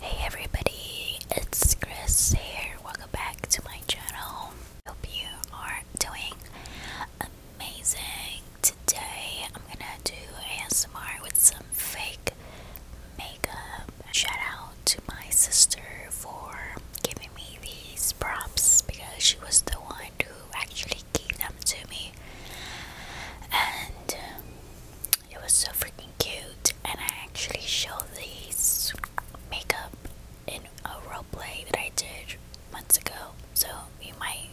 Hey everybody, it's Chris here. Welcome back to my channel. Hope you are doing amazing. Today I'm gonna do ASMR with some fake makeup. Shout out to my sister for giving me these prompts because she was the one who actually gave them to me and um, it was so freaking cute. And I actually showed these makeup in a roleplay that I did months ago, so you might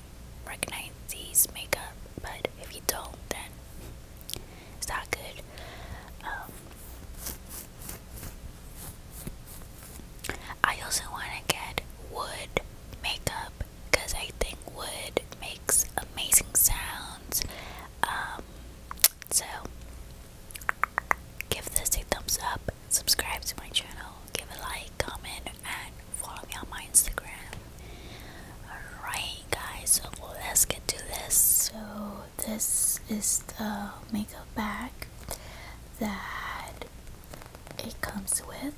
recognize these makeup. But if you don't, then it's not good. Um, I also want to get wood makeup because I think wood makes amazing sounds. Um, so, give this a thumbs up, subscribe to my channel, give a like, comment, and follow me on my Instagram. Alright, guys, so let's get to this. So, this is the makeup bag that it comes with.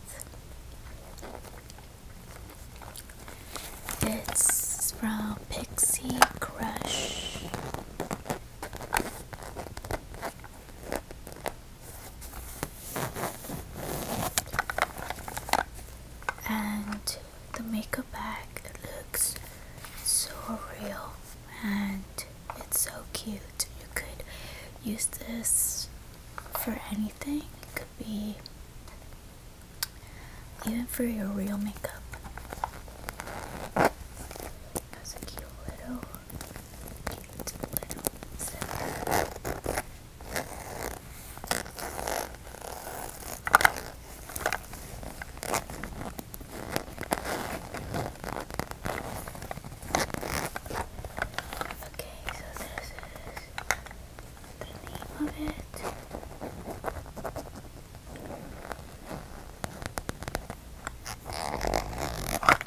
It's from Pixie Crush. And the makeup bag looks so real and it's so cute. You could use this for anything be even for your real makeup. That's a cute little, cute little Okay, so this is I'm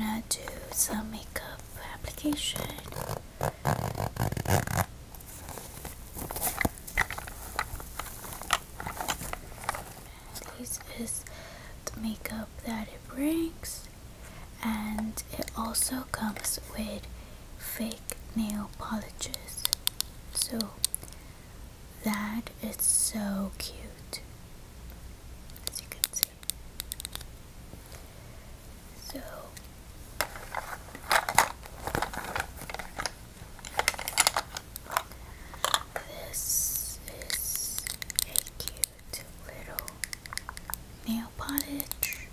gonna do some makeup application. This is the makeup that it brings and it also comes with fake nail polishes so that is so cute as you can see so this is a cute cute little nail polish.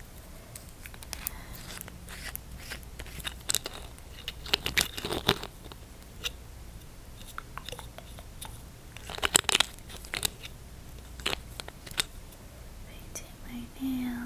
Painting my nails.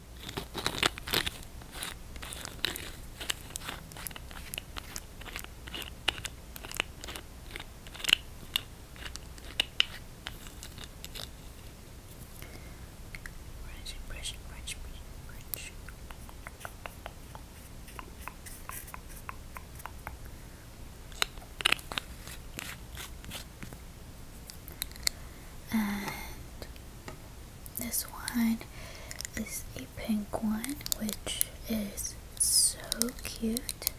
Brush, brush, brush, brush, and this one is a pink one, which is so cute.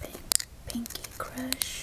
Pink, Pinky Crush.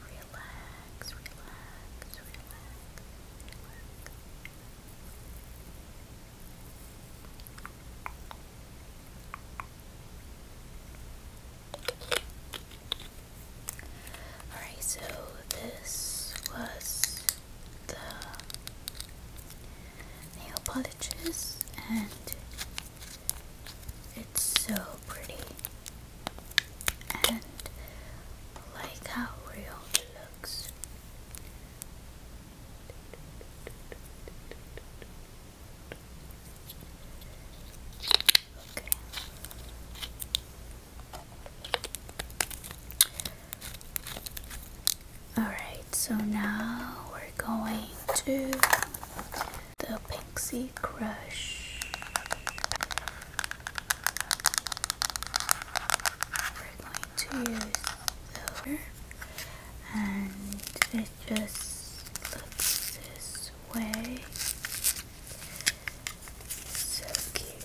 Relax, relax, relax, Alright, so this was the nail polishes and it's so pretty. And like how real it looks. Okay. All right, so now we're going to the Pixie Crush. We're going to use silver, and it just looks this way. So cute.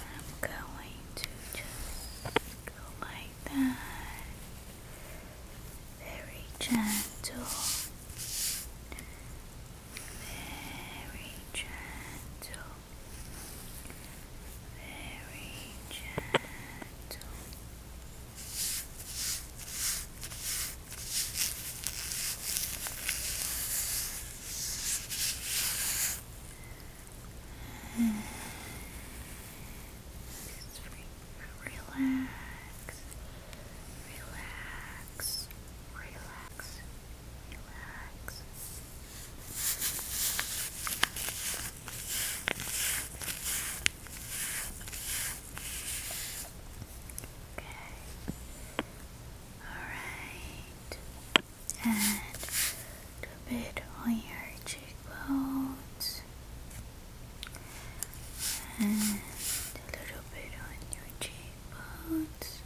I'm going to just go like that. Very gentle. Very gentle. Very gentle. Relax, relax, relax, relax. Okay. All right and a bit on your cheekbones and a little bit on your cheekbones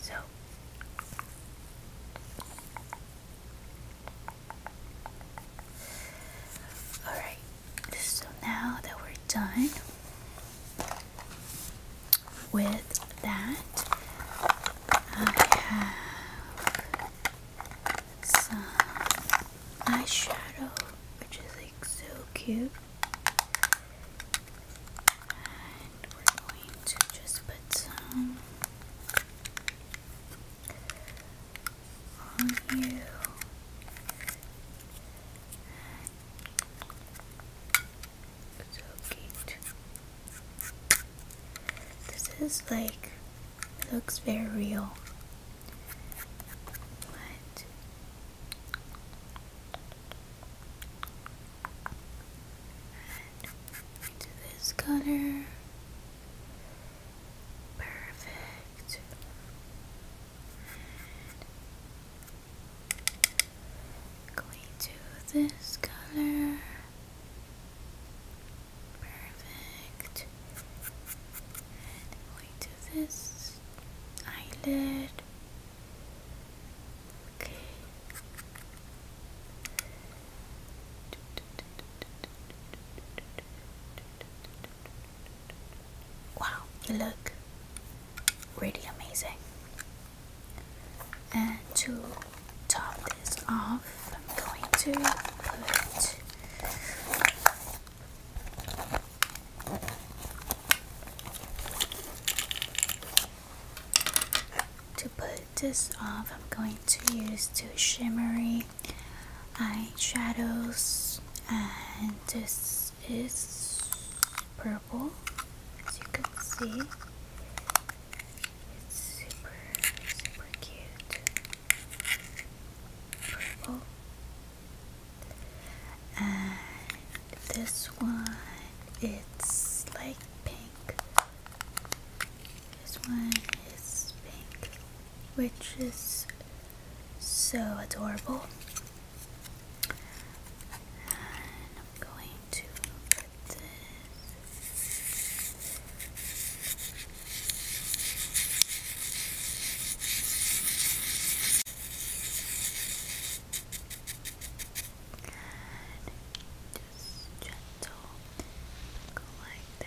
so Alright, so now that we're done with that, I have some eyeshadow, which is like so cute we're going to just put some on you. It's so cute. This is like looks very real. But and into this color. Perfect. going to this color. Perfect. going to this eyelid. Wow, you look really amazing. And to top this off, I'm going to put to put this off, I'm going to use two shimmery eyeshadows, and this is purple, as you can see. It's super, super cute. Purple. And this one, it's like pink. This one is pink, which is so adorable. And I'm going to put this. Good. Just gentle. Go like that.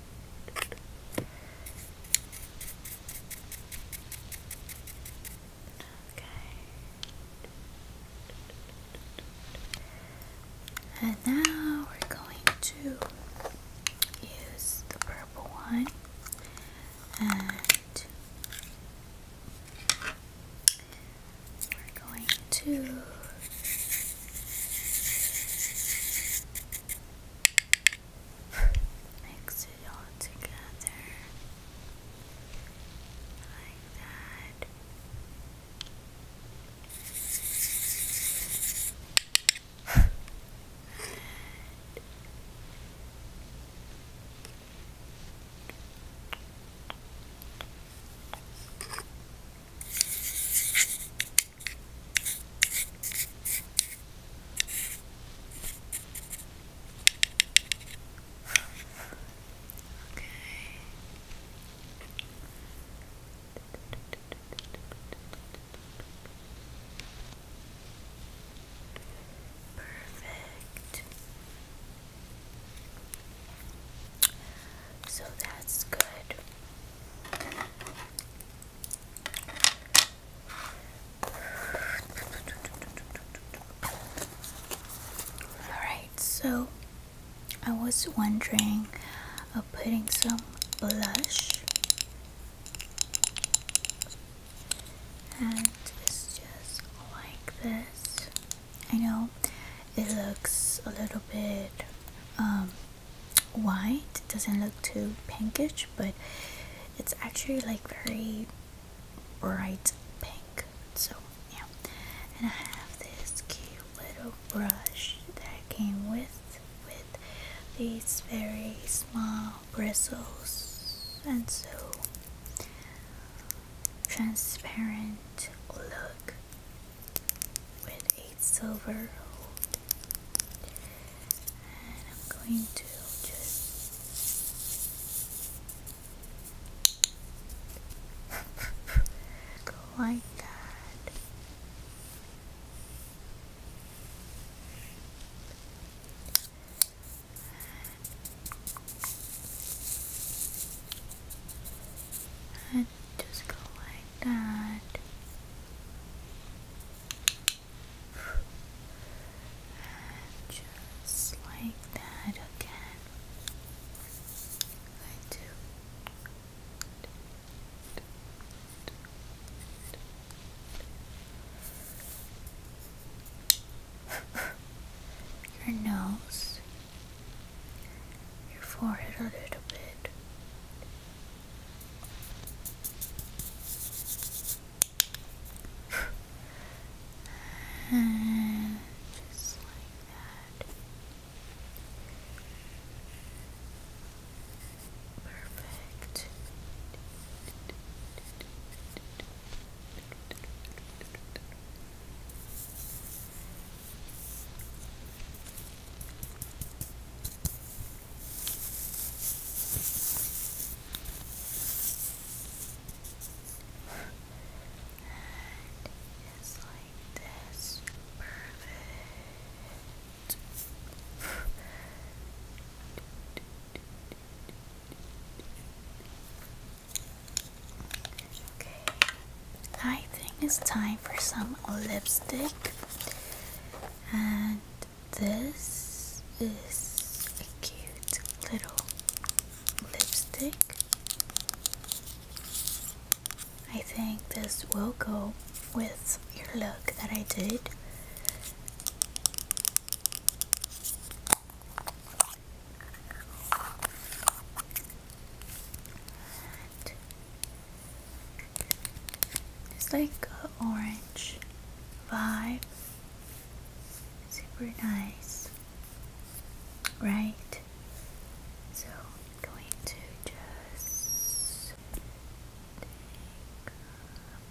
Okay. And now we're going to use the purple one and we're going to Mix it all together like that. Okay. Perfect. So that's good. Alright, so I was wondering of putting some blush and it's just like this. I know it looks a little bit um white it doesn't look too pinkish but it's actually like very bright pink so yeah and I have this cute little brush that came with with these very small bristles and so transparent look with 8 silver and I'm going to just go like that and just go like that. just like that again. I do. Your nose your forehead a little bit. just like that. Perfect. And it's like this. Perfect. Okay, I think it's time for some lipstick. And this is a cute little lipstick. I think this will go with your look that I did. It's like a orange vibe. Super nice. Right? So I'm going to just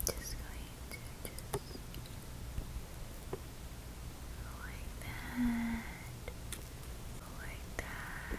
just going to just go like that. like that.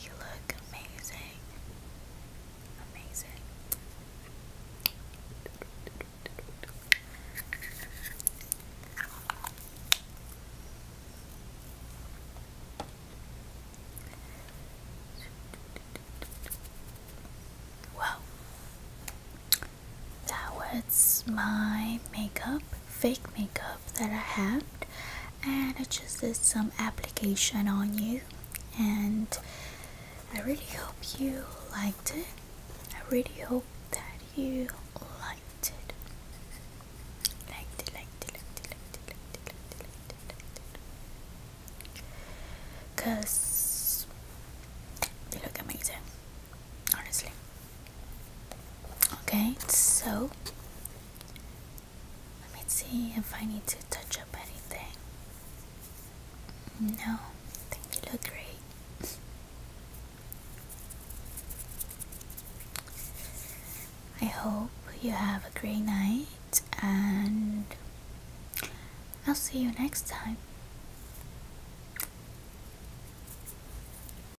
You look amazing. Amazing. Well, that was my makeup, fake makeup that I have, and I just did some application on you and I really hope you liked it. I really hope that you liked it. Liked it, liked it, liked it, liked it, liked it, liked it, liked it, liked it. Cause they look amazing, honestly. Okay, so let me see if I need to touch up anything. No, I think you look great. I hope you have a great night and I'll see you next time.